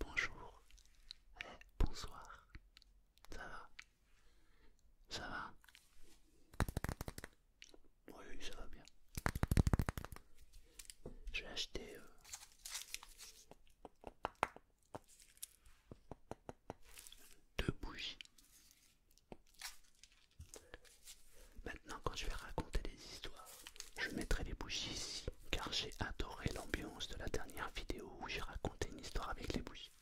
Bonjour, bonsoir, ça va Ça va Oui, ça va bien. J'ai acheté... Euh, deux bougies Maintenant, quand je vais raconter des histoires, je mettrai les bougies ici, car j'ai adoré l'ambiance de la dernière vidéo où j'ai raconté une histoire avec les bougies.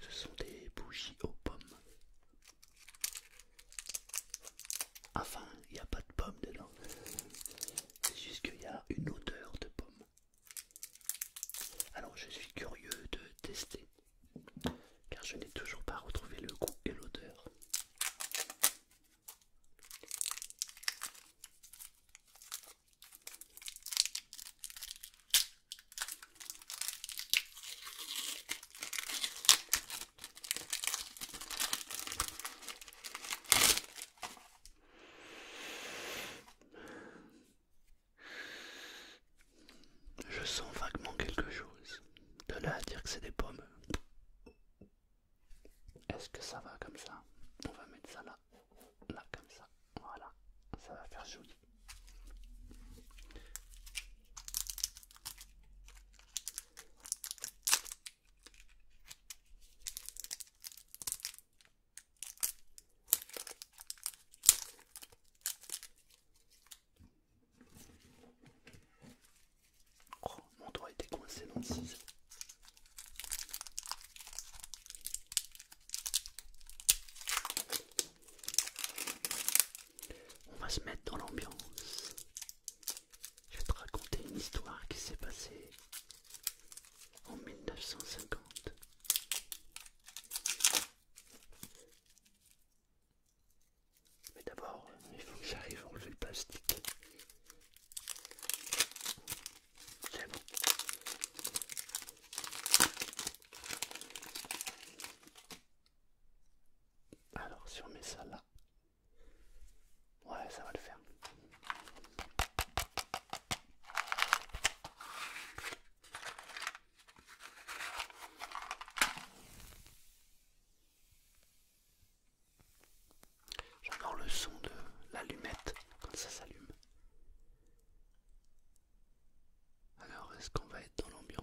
Ce sont des bougies aux pommes. Enfin, il n'y a pas de pommes dedans. C'est juste qu'il y a une odeur de pommes. Alors je suis curieux de tester, car je n'ai toujours pas retrouvé le goût et l'odeur. Je sens vaguement quelque chose. De là à dire que c'est des pommes. Est-ce que ça va comme ça On va mettre ça là. Là comme ça. Voilà. Ça va faire joli. Oh, mon doigt était coincé dans le ciseau. On va se mettre dans l'ambiance. Je vais te raconter une histoire qui s'est passée en 1950. Mais d'abord, il faut que j'arrive à enlever le plastique. C'est bon. Alors, si on met ça là, ouais, ça va le faire. J'adore le son de l'allumette quand ça s'allume. Alors, est-ce qu'on va être dans l'ambiance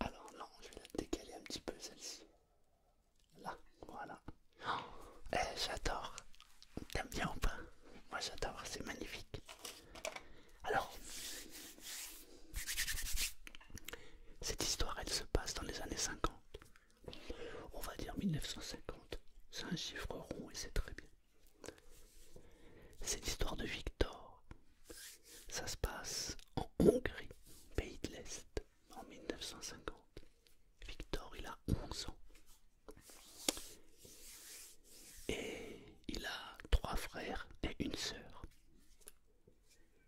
alors non, je vais la décaler un petit peu celle-ci. Là, voilà. eh, j'adore. T'aimes bien ou pas Moi j'adore, c'est magnifique. Alors, cette histoire, elle se passe dans les années 50. On va dire 1950. C'est un chiffre rond et c'est très bien. C'est l'histoire de Victor. Ça se passe en Hongrie, pays de l'Est, en 1950. Victor, il a 11 ans. Et il a trois frères et une sœur.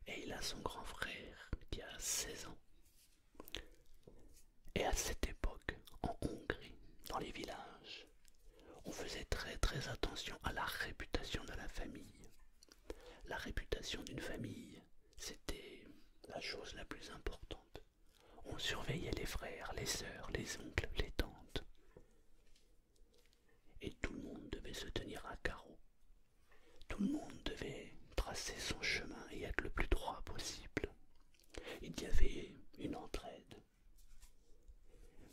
Et il a son grand frère qui a 16 ans. Et à cette époque, en Hongrie, dans les villages, on faisait très très attention à la réputation de la famille. La réputation d'une famille, c'était la chose la plus importante. On surveillait les frères, les sœurs, les oncles, les tantes. Et tout le monde devait se tenir à carreau. Tout le monde devait tracer son chemin et être le plus droit possible. Il y avait une entraide,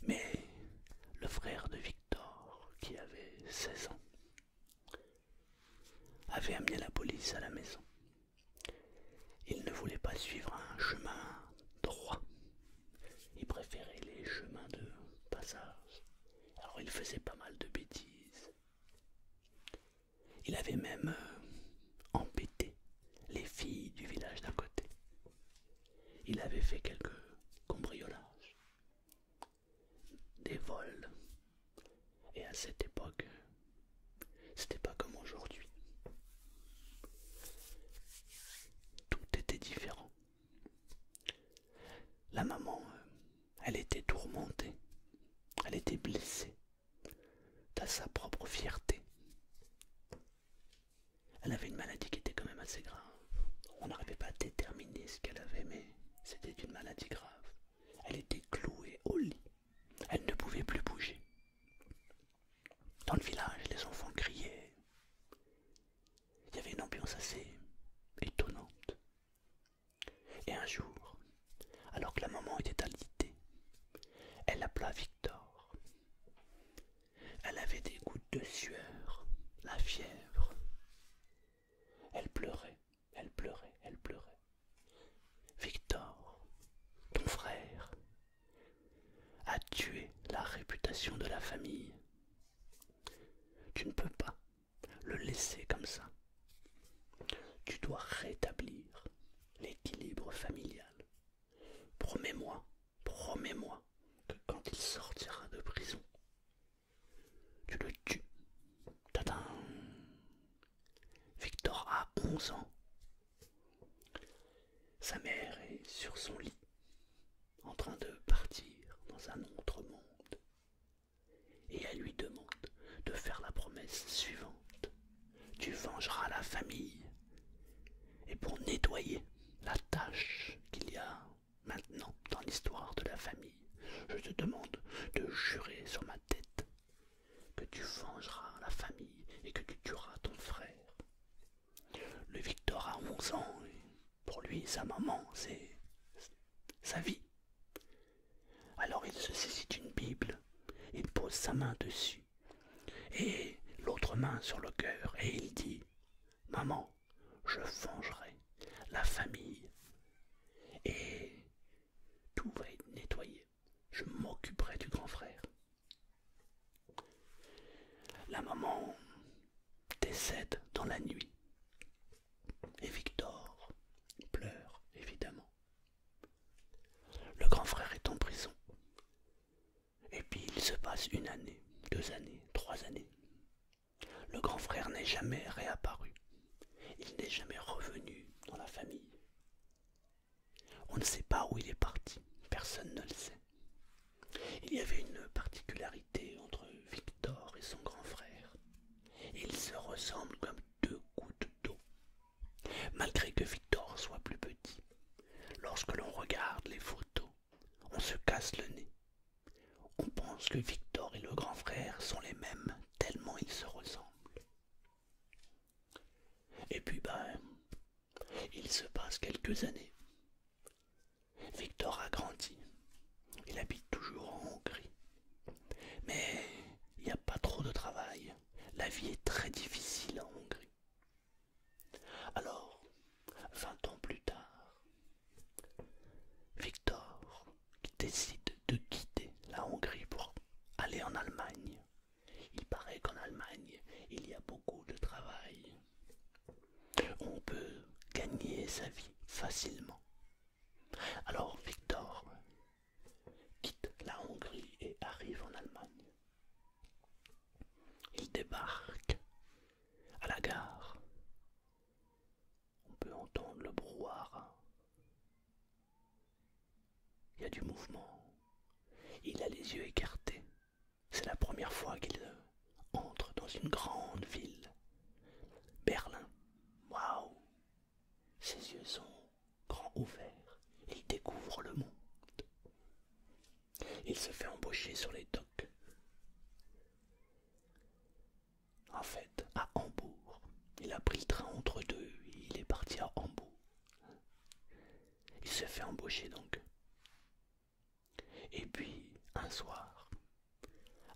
mais le frère de Victor, qui avait 16 ans, avait amené la police à la maison. Il ne voulait pas suivre un chemin droit. Il préférait les chemins de passage. Alors il faisait pas mal de bêtises. Il avait même euh, empêté les filles du village d'un côté. Il avait fait quelques cambriolages, des vols. Et à cette époque, c'était pas comme aujourd'hui. Tout était différent. La maman, euh, elle était tourmentée, elle était blessée, dans sa propre fierté. Elle avait une maladie qui était quand même assez grave. On n'arrivait pas à déterminer ce qu'elle avait, mais c'était une maladie grave. Elle était clouée au lit. Elle ne pouvait plus bouger. Dans le village, les enfants criaient. Il y avait une ambiance assez étonnante. Et un jour, alors que la maman était alitée, elle appela Victor. Elle avait des gouttes de sueur, la fièvre. Elle pleurait, elle pleurait, elle pleurait. Victor, ton frère, a tué la réputation de la famille. Tu ne peux pas le laisser comme ça. Tu dois rétablir l'équilibre familial. Promets-moi Promets-moi que quand il sortira de prison, tu le tues. Tadam Victor a 11 ans. Sa mère est sur son lit, en train de partir dans un autre monde. Et elle lui demande de faire la promesse suivante. Tu vengeras la famille. Et pour nettoyer la tâche qu'il y a maintenant dans l'histoire de la famille, je te demande de jurer sur ma tête que tu vengeras la famille et que tu tueras ton frère. Le Victor a 11 ans et pour lui, sa maman, c'est sa vie. Alors il se saisit d'une Bible, il pose sa main dessus et l'autre main sur le cœur et il dit Maman, je vengerai la famille et tout va être nettoyé. Je m'occuperai du grand frère. La maman décède dans la nuit et Victor pleure évidemment. Le grand frère est en prison et puis il se passe une année, deux années, trois années, le grand frère n'est jamais réapparu. Il n'est jamais revenu dans la famille. On ne sait pas où il est parti. Personne ne le sait. Il y avait une particularité entre Victor et son grand frère. Ils se ressemblent comme deux gouttes d'eau. Malgré que Victor soit plus petit, lorsque l'on regarde les photos, on se casse le nez. On pense que Victor et le grand frère sont les mêmes, tellement ils se ressemblent. Et puis ben, il se passe quelques années. Victor a grandi. Il habite toujours en Hongrie. Mais il n'y a pas trop de travail. La vie est très difficile en Hongrie. Alors, vingt ans plus tard, Victor, décide de quitter la Hongrie pour aller en Allemagne. Il paraît qu'en Allemagne, il y a beaucoup de travail. On peut gagner sa vie facilement. Alors Victor quitte la Hongrie et arrive en Allemagne. Il débarque à la gare on peut entendre le brouhaha. Il y a du mouvement. Il a les yeux écartés. C'est la première fois qu'il euh, entre dans une grande ville. Berlin. Waouh Ses yeux sont grands ouverts. Il découvre le monde. Il se fait embaucher sur les docks. En fait, à Hambourg. Il a pris le train entre deux il est parti à Hambourg. Il se fait embaucher donc. Et puis, un soir,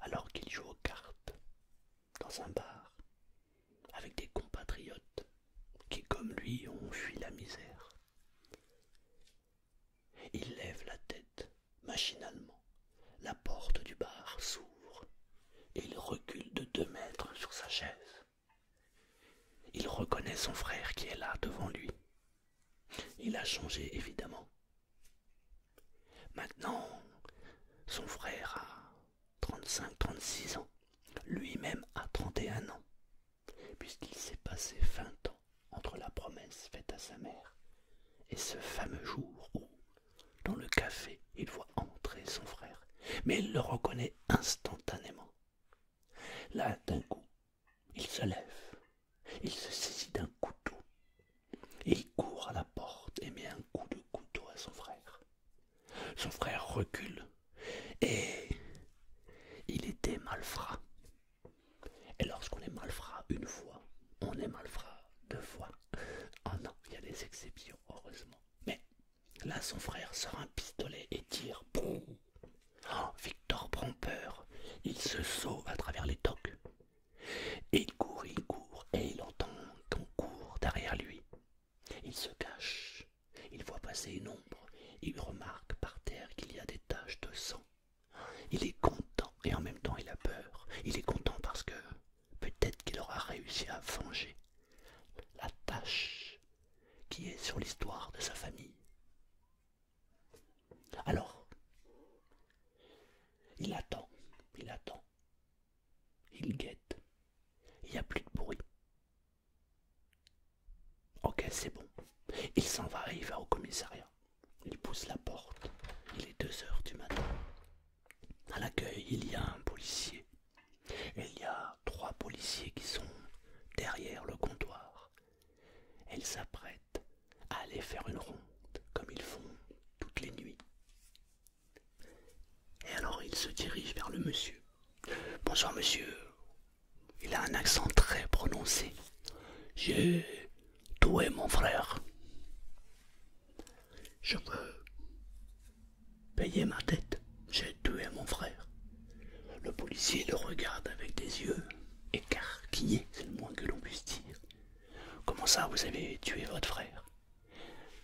alors qu'il joue aux cartes, dans un bar, avec des compatriotes qui, comme lui, ont fui la misère, il lève la tête, machinalement. La porte du bar s'ouvre. et Il recule de deux mètres sur sa chaise. Il reconnaît son frère qui est là devant lui. Il a changé, évidemment. Maintenant, son frère a 35-36 ans, lui-même a 31 ans, puisqu'il s'est passé 20 entre la promesse faite à sa mère et ce fameux jour où, dans le café, il voit entrer son frère, mais il le reconnaît instantanément. Là, d'un coup, il se lève, il se saisit d'un couteau, et il court à la porte et met un coup de couteau à son frère. Son frère recule, et il était malfrat. Et lorsqu'on est malfrat une fois, on est malfrat deux fois. Ah non, il y a des exceptions, heureusement. Mais là, son frère sort un pistolet et tire. Ah, Victor prend peur. Il se sauve à travers les toques. Et il court, il court, et il entend qu'on court derrière lui. Il se cache. Il voit passer une ombre. Il remarque par terre qu'il y a des taches de sang. Il est content et en même temps il a peur. Il est content parce que peut-être qu'il aura réussi à venger la tâche qui est sur l'histoire de sa famille. Alors, il attend, il attend, il guette, il n'y a plus de bruit. Ok, c'est bon. Il s'en va et il va au commissariat. Il pousse la porte. Il est 2 heures du matin. À l'accueil, il y a un policier. il y a trois policiers qui sont derrière le comptoir. Elles s'apprêtent à aller faire une ronde, comme ils font toutes les nuits. Et alors il se dirige vers le monsieur. Bonjour, monsieur. Il a un accent très prononcé. Tu es mon frère. Je veux payer ma dette, J'ai tué mon frère. Le policier le regarde avec des yeux écarquillés, c'est le moins que l'on puisse dire. Comment ça, vous avez tué votre frère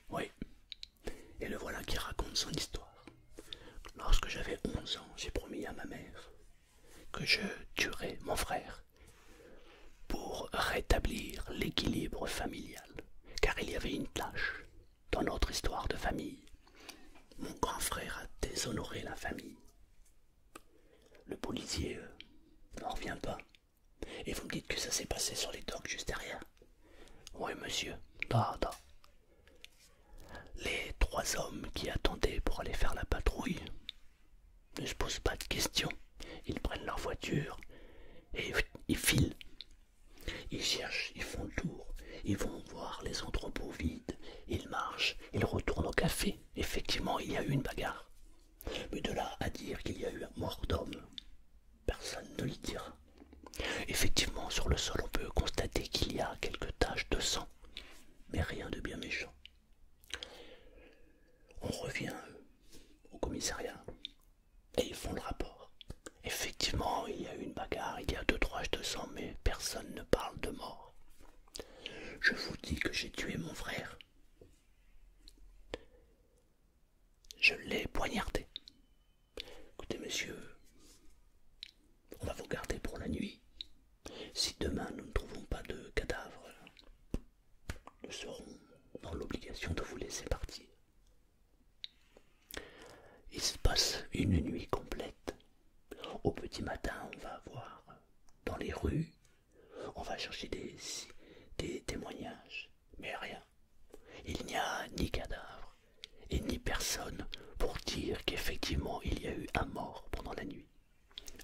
Oui. Et le voilà qui raconte son histoire. Lorsque j'avais 11 ans, j'ai promis à ma mère que je tuerai mon frère pour rétablir l'équilibre familial, car il y avait une tâche dans notre histoire de famille. Mon grand frère a déshonoré la famille. Le policier euh, n'en revient pas. Et vous me dites que ça s'est passé sur les docks juste derrière. Oui, monsieur. Da, Les trois hommes qui attendaient pour aller faire la patrouille ne se posent pas de questions. Ils prennent leur voiture et ils filent. Ils cherchent, ils font le tour, ils vont voir les entrepôts vides, ils marchent, ils retournent au café. Effectivement, il y a eu une bagarre. Mais de là à dire qu'il y a eu un mort d'homme, personne ne l'y dira. Effectivement, sur le sol, on peut constater qu'il y a quelques taches de sang, mais rien de bien méchant. On revient euh, au commissariat et ils font le rapport. Effectivement, il y a eu une bagarre, il y a deux, trois, je te mais personne ne parle de mort. Je vous dis que j'ai tué mon frère. Je l'ai poignardé. Écoutez, monsieur, on va vous garder pour la nuit. Si demain nous ne trouvons pas de cadavre, nous serons dans l'obligation de vous laisser partir. Il se passe une nuit complète. Au petit matin, on va voir dans les rues, on va chercher des, témoignages, mais rien. Il n'y a ni cadavre et ni personne pour dire qu'effectivement il y a eu un mort pendant la nuit.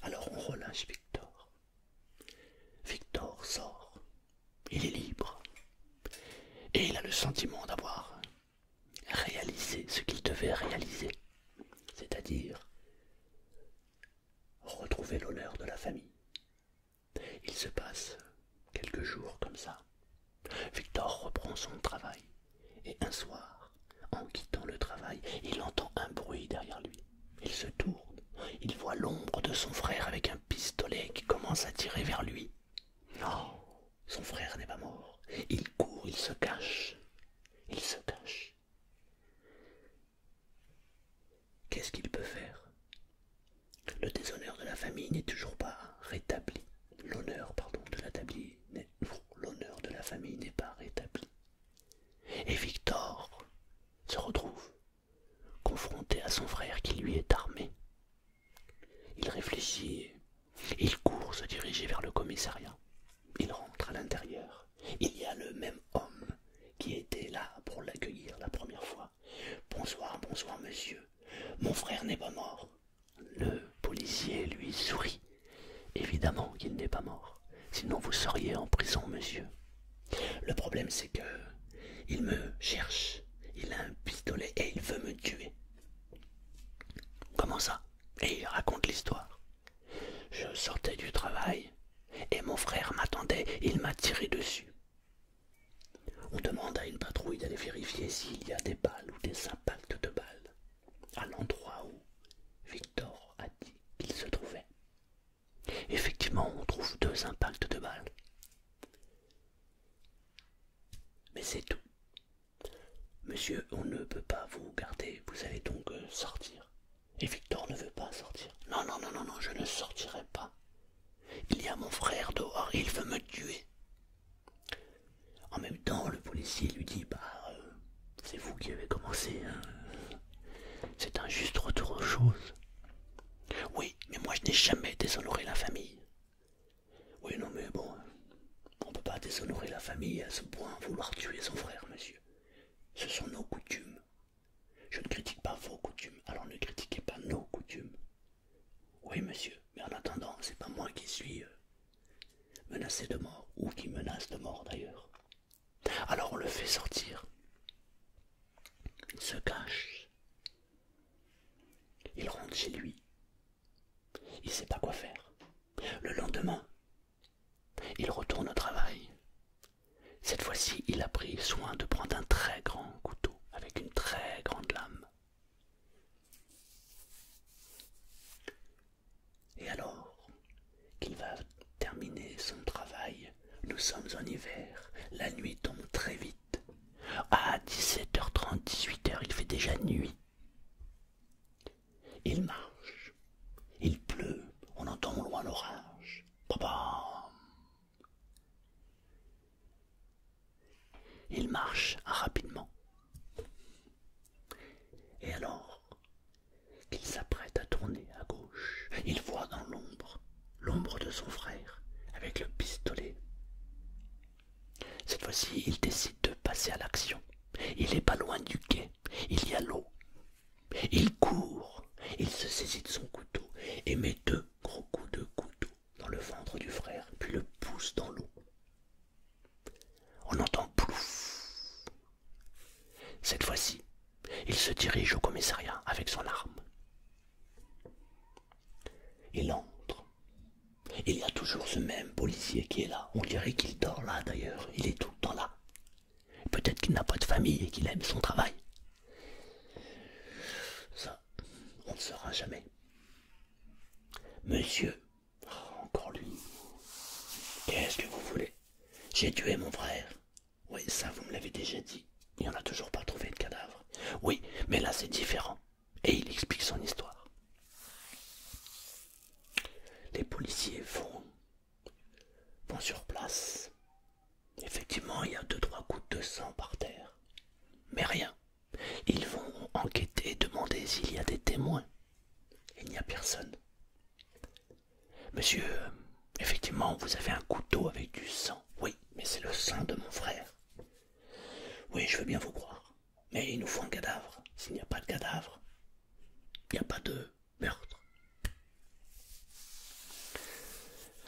Alors on relâche Victor. Victor sort. Il est libre. Et il a le sentiment d'avoir réalisé ce qu'il devait réaliser, c'est-à-dire retrouver l'honneur de la famille. Il se passe quelques jours comme ça. Victor reprend son travail et un soir, en quittant le travail, il entend un bruit derrière lui. Il se tourne, il voit l'ombre de son frère avec un pistolet qui commence à tirer vers lui. Non, son frère n'est pas mort. Il court, il se cache. Il se cache. Qu'est-ce qu'il peut faire Le déshonneur de la famille n'est toujours pas rétabli. L'honneur, pardon, de l'honneur de la famille n'est pas rétabli. Et Victor se retrouve confronté à son frère qui lui est armé. Il réfléchit, il court se diriger vers le commissariat. Il rentre à l'intérieur. Il y a le même homme qui était là pour l'accueillir la première fois. Bonsoir, bonsoir, monsieur. Mon frère n'est pas mort. Le policier lui sourit. Évidemment qu'il n'est pas mort sinon vous seriez en prison, monsieur. Le problème, c'est que il me cherche, il a un pistolet et il veut me tuer. Comment ça Et il raconte l'histoire. Je sortais du travail et mon frère m'attendait, il m'a tiré dessus. On demande à une patrouille d'aller vérifier s'il y a des balles ou des impacts de balles à l'endroit où Victor a dit qu'il se trouvait. Effectivement, on trouve deux impacts de balle, Mais c'est tout. Monsieur, on ne peut pas vous garder, vous allez donc euh, sortir. Et Victor ne veut pas sortir. Non, non, non, non, non, je ne sortirai pas. Il y a mon frère dehors, il veut me tuer. En même temps, le policier lui dit, bah, euh, c'est vous qui avez commencé. Hein. C'est un juste retour aux choses. Oui, mais moi je n'ai jamais déshonoré la famille. Oui, non, mais bon, on ne peut pas déshonorer la famille à ce point, vouloir tuer son frère, monsieur. Ce sont nos coutumes. Je ne critique pas vos coutumes, alors ne critiquez pas nos coutumes. Oui, monsieur, mais en attendant, c'est pas moi qui suis euh, menacé de mort, ou qui menace de mort d'ailleurs. Alors on le fait sortir. Il se cache. Il rentre chez lui. Il sait pas quoi faire. Le lendemain, il retourne au travail. Cette fois-ci, il a pris soin de prendre un très grand couteau avec une très grande lame. Et alors, qu'il va terminer son travail. Nous sommes en hiver, la nuit tombe très vite. À 17h30, 18h, il fait déjà nuit. Il marche, il pleut, on entend loin l'orage. Il marche rapidement. Et alors, qu'il s'apprête à tourner à gauche. Il voit dans l'ombre l'ombre de son frère avec le pistolet. Cette fois-ci, il décide de passer à l'action. Il n'est pas loin du quai, il y a l'eau. Il court, il se saisit de son couteau et met deux gros coups de couteau dans le ventre du frère, puis le pousse dans l'eau. On entend plouf. Cette fois-ci, il se dirige au commissariat avec son arme. Il entre. Il y a toujours ce même policier qui est là. On dirait qu'il dort là d'ailleurs. Il est tout le temps là. Peut-être qu'il n'a pas de famille et qu'il aime son travail. Ça, on ne saura jamais. Monsieur, oh, encore lui. Qu'est-ce que vous voulez J'ai tué mon frère. Oui, ça vous me l'avez déjà dit. Il n'y en a toujours pas trouvé de cadavre. Oui, mais là c'est différent. Et il explique son histoire. Les policiers vont, sur place. Effectivement, il y a deux, trois gouttes de sang par terre. Mais rien. Ils vont enquêter et demander s'il y a des témoins. Il n'y a personne. Monsieur, effectivement, vous avez un couteau avec du sang. Oui, mais c'est le sang de mon frère. Oui, je veux bien vous croire. Mais il nous faut un cadavre. S'il n'y a pas de cadavre, il n'y a pas de meurtre.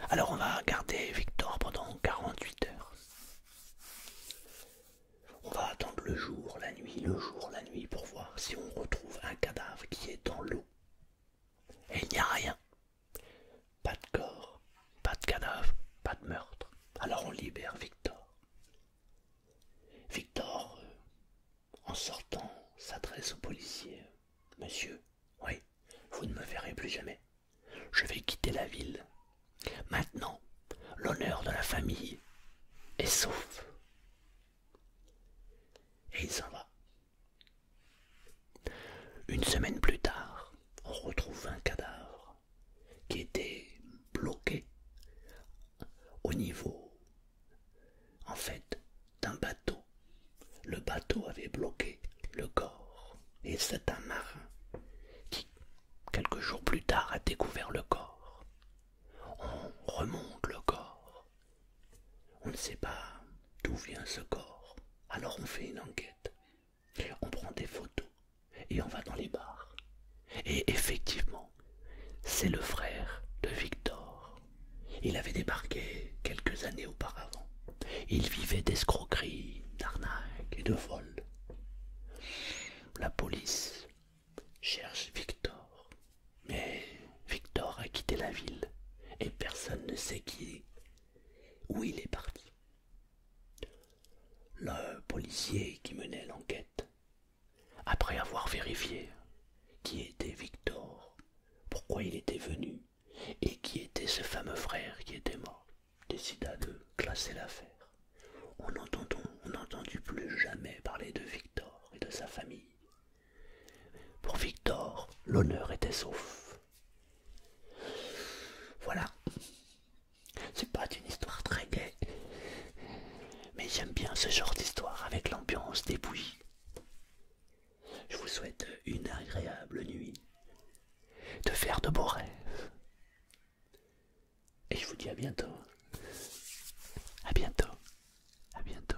Alors on va garder Victor pendant 48 heures. On va attendre le jour, la nuit, le jour, la nuit pour voir si on retrouve un cadavre qui est dans l'eau. Et il n'y a rien. Pas de corps, pas de cadavre, pas de meurtre. Alors on libère Victor. Victor, euh, en sortant, s'adresse au policier. Monsieur, oui, vous ne me verrez plus jamais. Je vais quitter la ville. Maintenant, l'honneur de la famille est sauf. Et il s'en va. Une semaine plus tard, on retrouve un cadavre qui était bloqué au niveau, en fait, d'un bateau. Le bateau avait bloqué le corps et c'est un marin qui, quelques jours plus tard, a découvert le corps. On remonte le corps on ne sait pas d'où vient ce corps. Alors on fait une enquête. On prend des photos et on va dans les bars. Et effectivement, c'est le frère de Victor. Il avait débarqué quelques années auparavant. Il vivait d'escroqueries, d'arnaques et de vols. La police cherche Victor. Mais Victor a quitté la ville et personne ne sait qui où il est parti. Le policier qui menait l'enquête, après avoir vérifié qui était Victor, pourquoi il était venu et qui était ce fameux frère qui était mort, décida de classer l'affaire. On n'entendit plus jamais parler de Victor et de sa famille, pour Victor, l'honneur était sauf. Voilà. C'est pas une histoire très gaie. Mais j'aime bien ce genre d'histoire avec l'ambiance des Je vous souhaite une agréable nuit. De faire de beaux rêves. Et je vous dis à bientôt. À bientôt. À bientôt.